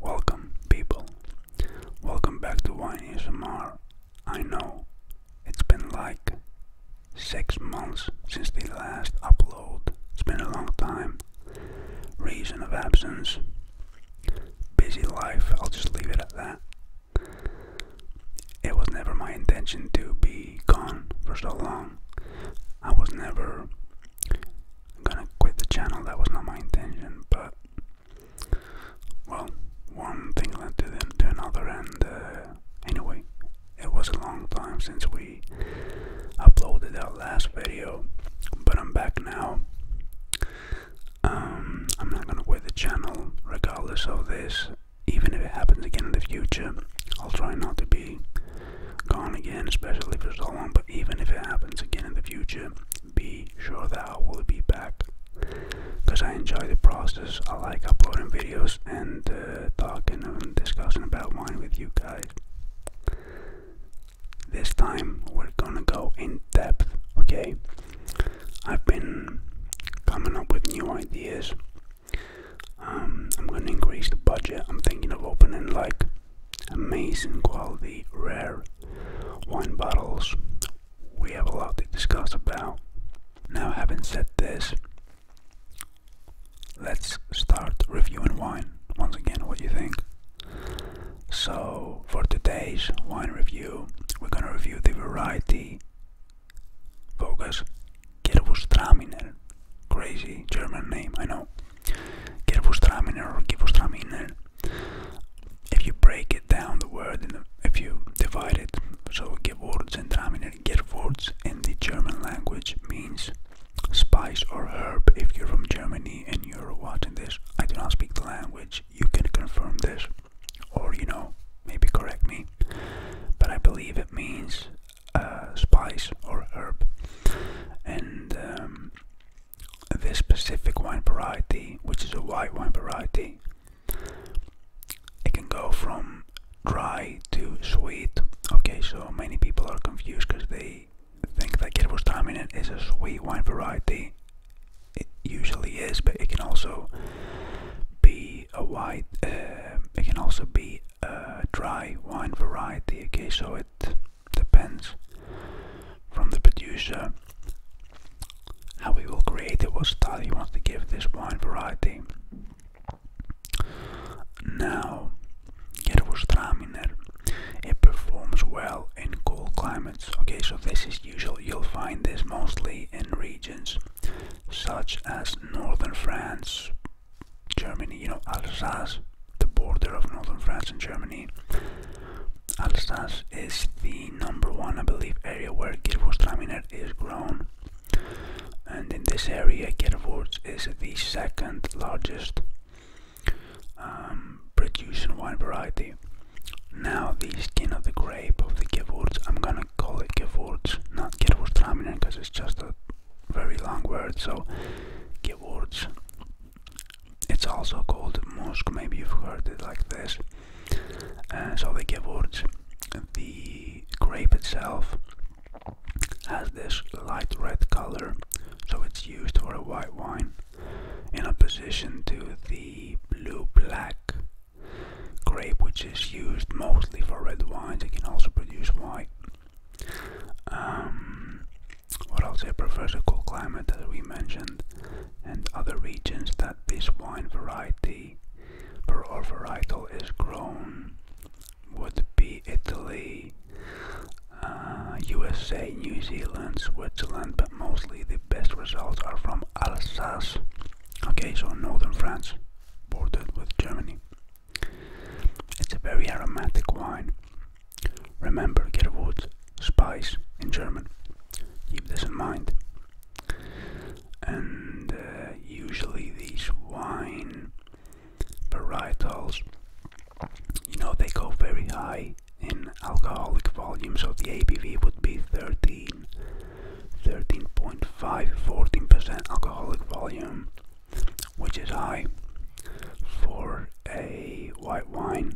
Welcome, people. Welcome back to Wine ASMR. I know it's been like six months since the last upload. It's been a long time. Reason of absence. Busy life. I'll just leave it at that. It was never my intention to be gone for so long. I was never gonna quit the channel, that was not my intention, but well, one thing led to, to another, and uh, anyway, it was a long time since we uploaded that last video, but I'm back now. Um, I'm not gonna quit the channel regardless of this even if it happens again in the future, I'll try not to be gone again, especially for so long. But even if it happens again in the future, be sure that I will be back because I enjoy the process. I like uploading videos and uh, talking and discussing about wine with you guys. This time we're gonna go in depth, okay? I've been coming up with new ideas. Um, I'm going to increase the budget. I'm thinking of opening like amazing quality rare wine bottles. We have a lot to discuss about. Now, having said this, let's start reviewing wine. Once again, what do you think? So, for today's wine review, we're gonna review the variety Vogas Gerwustraminer. Crazy German name, I know. Gerwustraminer or Gewustraminer. If you break it down, the word, in if you divide it, so words and Gewurztraminer, words in the German language means spice or herb. If you're from Germany and you're watching this, I do not speak the language. You can confirm this or you know, maybe correct me, but I believe it means uh, spice or herb. And um, this specific wine variety, which is a white wine variety, it can go from dry to sweet. Okay, so many people are confused because they think that Kirvos Taminen is a sweet wine variety it usually is, but it can also be a white. Um, it can also be a dry wine variety. Okay, so it depends from the producer how we will create it, what style he want to give this wine variety. Now, Gervostraminer, it performs well in cool climates. Okay, so this is as you'll find this mostly in regions such as northern France, Germany, you know, Alsace, the border of northern France and Germany. Alsace is the number one, I believe, area where Gewürztraminer is grown. And in this area, Gewürz is the second largest um, production wine variety. Now the skin of the grape of the gewurz, I'm gonna call it gewurz, not gewurztraminer because it's just a very long word, so gewurz. It's also called musk, maybe you've heard it like this. Uh, so the gewurz, the grape itself has this light red color, so it's used for a white wine in opposition to the blue black grape, which is used mostly for red wines. It can also produce white. Um, what else? It prefers a cool climate, as we mentioned, and other regions that this wine variety or varietal is grown would be Italy, USA, uh, New Zealand, Switzerland, but mostly the best results are from Alsace. Okay, so northern France, bordered with Germany. It's a very aromatic wine. Remember, get wood, spice in German. Keep this in mind. And uh, usually these wine varietals, you know, they go very high in alcoholic volumes of the ABV would be 13, 13.5, 14% alcoholic volume, which is high for a white wine.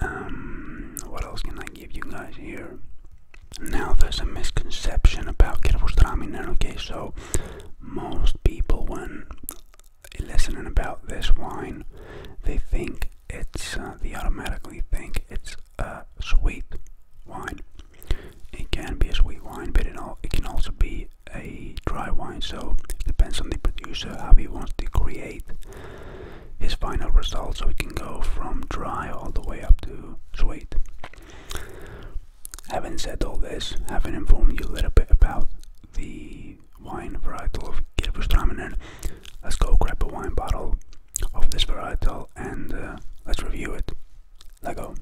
Um, what else can I give you guys here? Now, there's a misconception about Kirvostramin, okay, so most people when Listening about this wine. They think it's, uh, they automatically think it's a sweet wine. It can be a sweet wine, but it, it can also be a dry wine. So it depends on the producer how he wants to create his final result. So it can go from dry all the way up to sweet. Having said all this, having informed you a little bit about the wine varietal of Gewürztraminer. Let's go grab a wine bottle of this varietal and uh, let's review it. Let us go.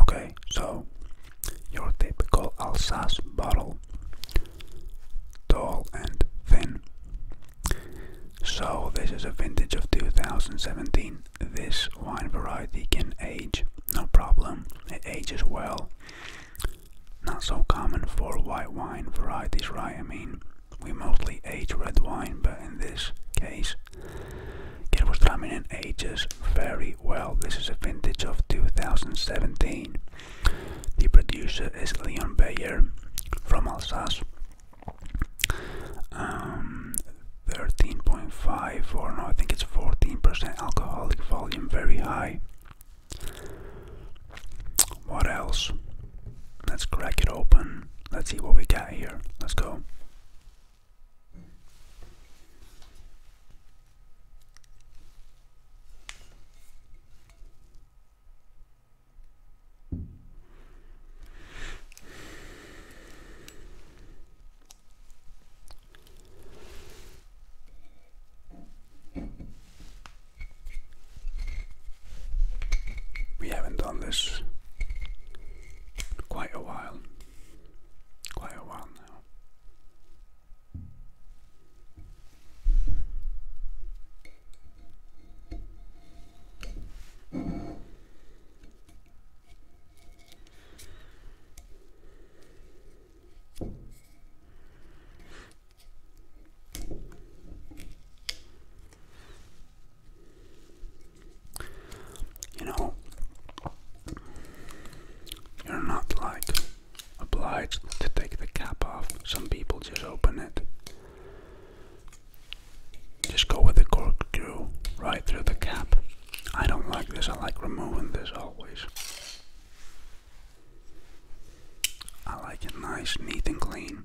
Okay, so your typical Alsace bottle, tall and thin. So this is a vintage of 2017. This wine variety can age, no problem. It ages well. Not so common for white wine varieties, right? I mean, we mostly age red wine, but in this case, Kervostramminen ages very well. This is a vintage of 2017. The producer is Leon Bayer from Alsace. 13.5 um, or no, I think it's 14% alcoholic volume, very high. What else? Let's crack it open. Let's see what we got here. Let's go. We haven't done this in quite a while quite a while now. You know, you're not like obliged to take the cap off. Some people just open it. Just go with the corkscrew right through the cap. I don't like this, I like removing this always. I like it nice, neat, and clean.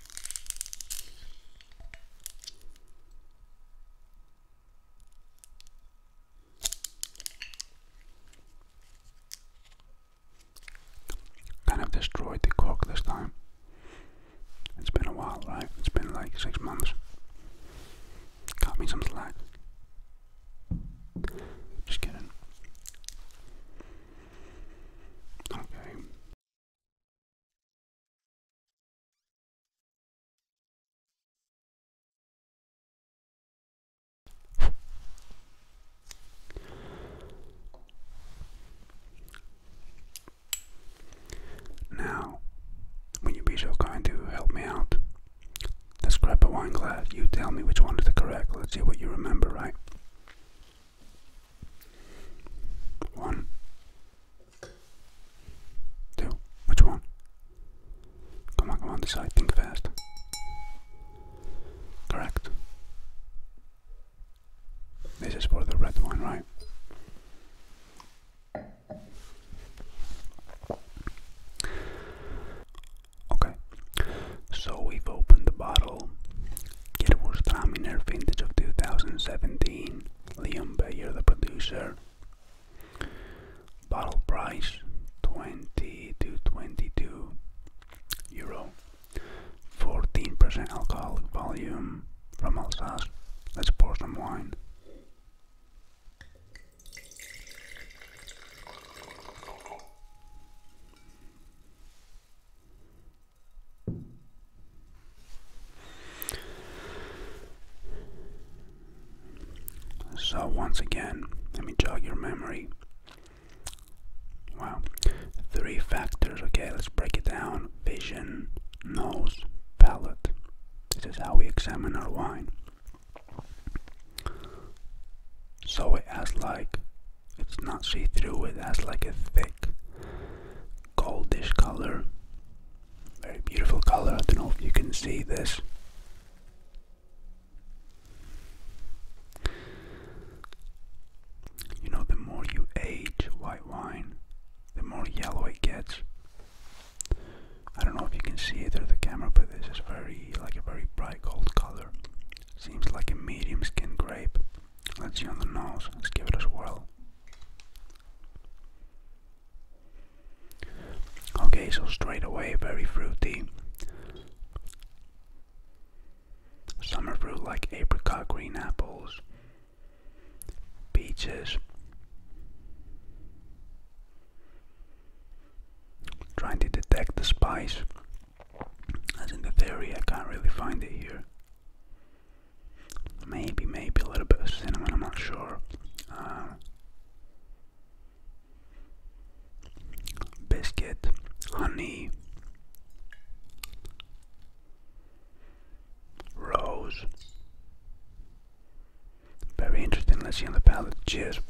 Kind of destroyed the cock this time. It's been a while, right? It's been like six months. Cut me some slack. Just kidding. Okay. Now, will you be so kind to help me out? The scrap of wine glass, you tell me which one is the correct. Let's see what you remember, right? One. Two. Which one? Come on, come on, decide. Think fast. Correct. This is for the red one, right? Okay, so we've opened the bottle. It Kirwurst Traminer vintage of 2017. Liam Bayer, the producer. Bottle price 20 to 22 euro. 14% alcohol volume from Alsace. Let's pour some wine. So, once again, let me jog your memory. Wow, three factors. Okay, let's break it down vision, nose, palate. This is how we examine our wine so it has like it's not see-through it has like a thick goldish color very beautiful color i don't know if you can see this you know the more you age white wine the more yellow it gets i don't know if you can see it through the camera but this is very like a very bright gold color Seems like a medium skin grape. Let's see on the nose. Let's give it a swirl. Okay, so straight away, very fruity. Summer fruit like apricot, green apples, peaches. Trying to detect the spice. As in the theory, I can't really find it here. Maybe, maybe a little bit of cinnamon, I'm not sure. Um, biscuit, honey, rose. Very interesting, let's see on the palette. Cheers.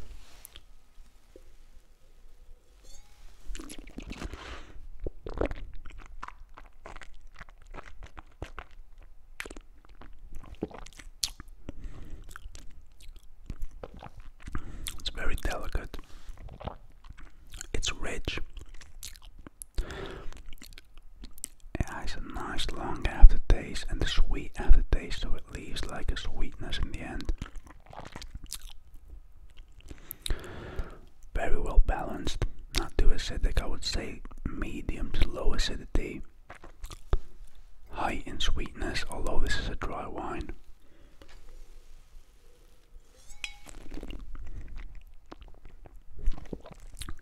It's very delicate. It's rich. It has a nice long aftertaste, and a sweet aftertaste, so it leaves like a sweetness in the end. Very well balanced, not too acidic, I would say medium to low acidity. High in sweetness, although this is a dry wine.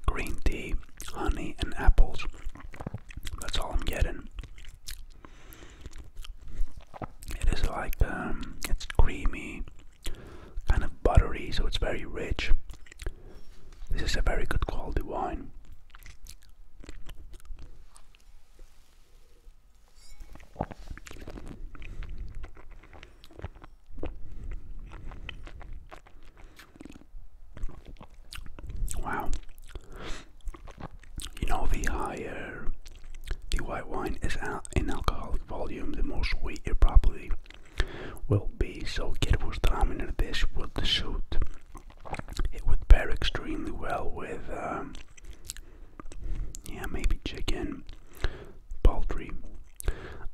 Green tea, honey, and apples. That's all I'm getting. It is like um, it's creamy, kind of buttery, so it's very rich. This is a very good quality wine. Wow. You know, the higher the white wine is in alcoholic volume, the more sweet it probably will be. So, get dominant Kirvostraminer, this would suit. It would pair extremely well with, um, yeah, maybe chicken, poultry,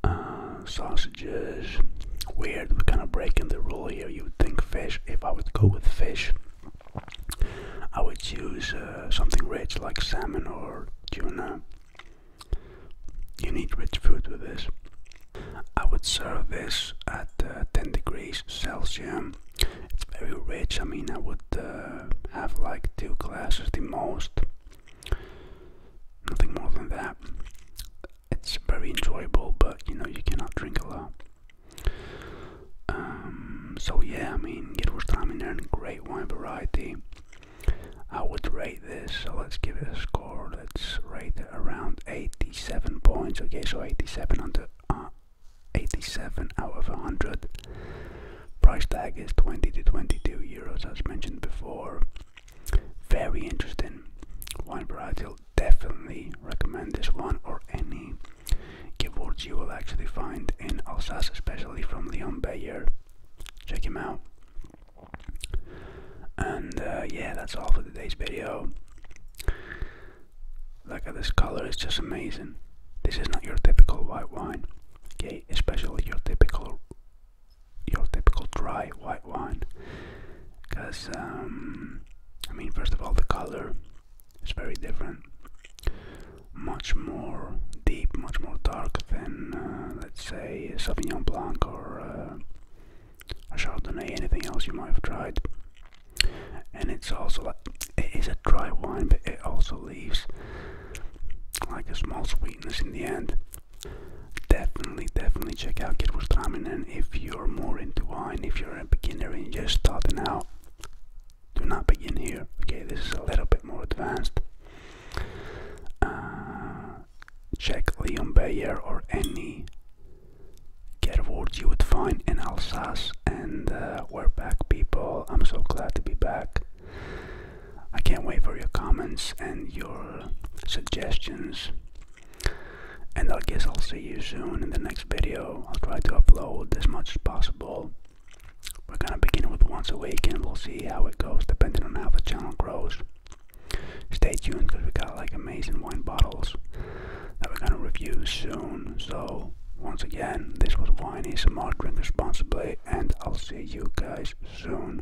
uh, sausages. Weird, we're kind of breaking the rule here. You would think fish. If I would go with fish, I would choose uh, something rich like salmon or tuna. You need rich food with this. I would serve this at uh, 10 degrees Celsius. It's very rich. I mean, I would uh, have like two glasses the most. Nothing more than that. It's very enjoyable, but you know, you cannot drink a lot. Um, so yeah, I mean, it was Yerushalayim earned great wine variety. I would rate this, let's give it a score. Let's rate it around 87 points. Okay, so 87 under uh, 87 out of 100. Price tag is 20 to 22 euros, as mentioned before. Very interesting wine variety definitely recommend this one or any keywords you will actually find in Alsace, especially from Leon Bayer. Check him out. And uh, yeah, that's all for today's video. Look at this color, it's just amazing. This is not your typical white wine, okay? Especially your typical, your typical dry white wine because um, I mean, first of all, the color is very different, much more deep, much more dark than uh, let's say Sauvignon Blanc or uh, a Chardonnay, anything else you might have tried. And it's also like it is a dry wine, but it also leaves like a small sweetness in the end. Definitely, definitely check out Kid Wurstramen if you're more into wine, if you're a beginner and just starting out, do not begin here. Okay, this is a little bit more advanced. Uh, check Leon Bayer or any get awards you would find in Alsace, and uh, we're back, people. I'm so glad to be back. I can't wait for your comments and your suggestions. And I guess I'll see you soon in the next video. I'll try to upload as much as possible. We're gonna begin with once a week and we'll see how it goes depending on how the channel grows. Stay tuned because we got like amazing wine bottles that we're gonna review soon. So once again, this was Winey Smart Drink Responsibly and I'll see you guys soon.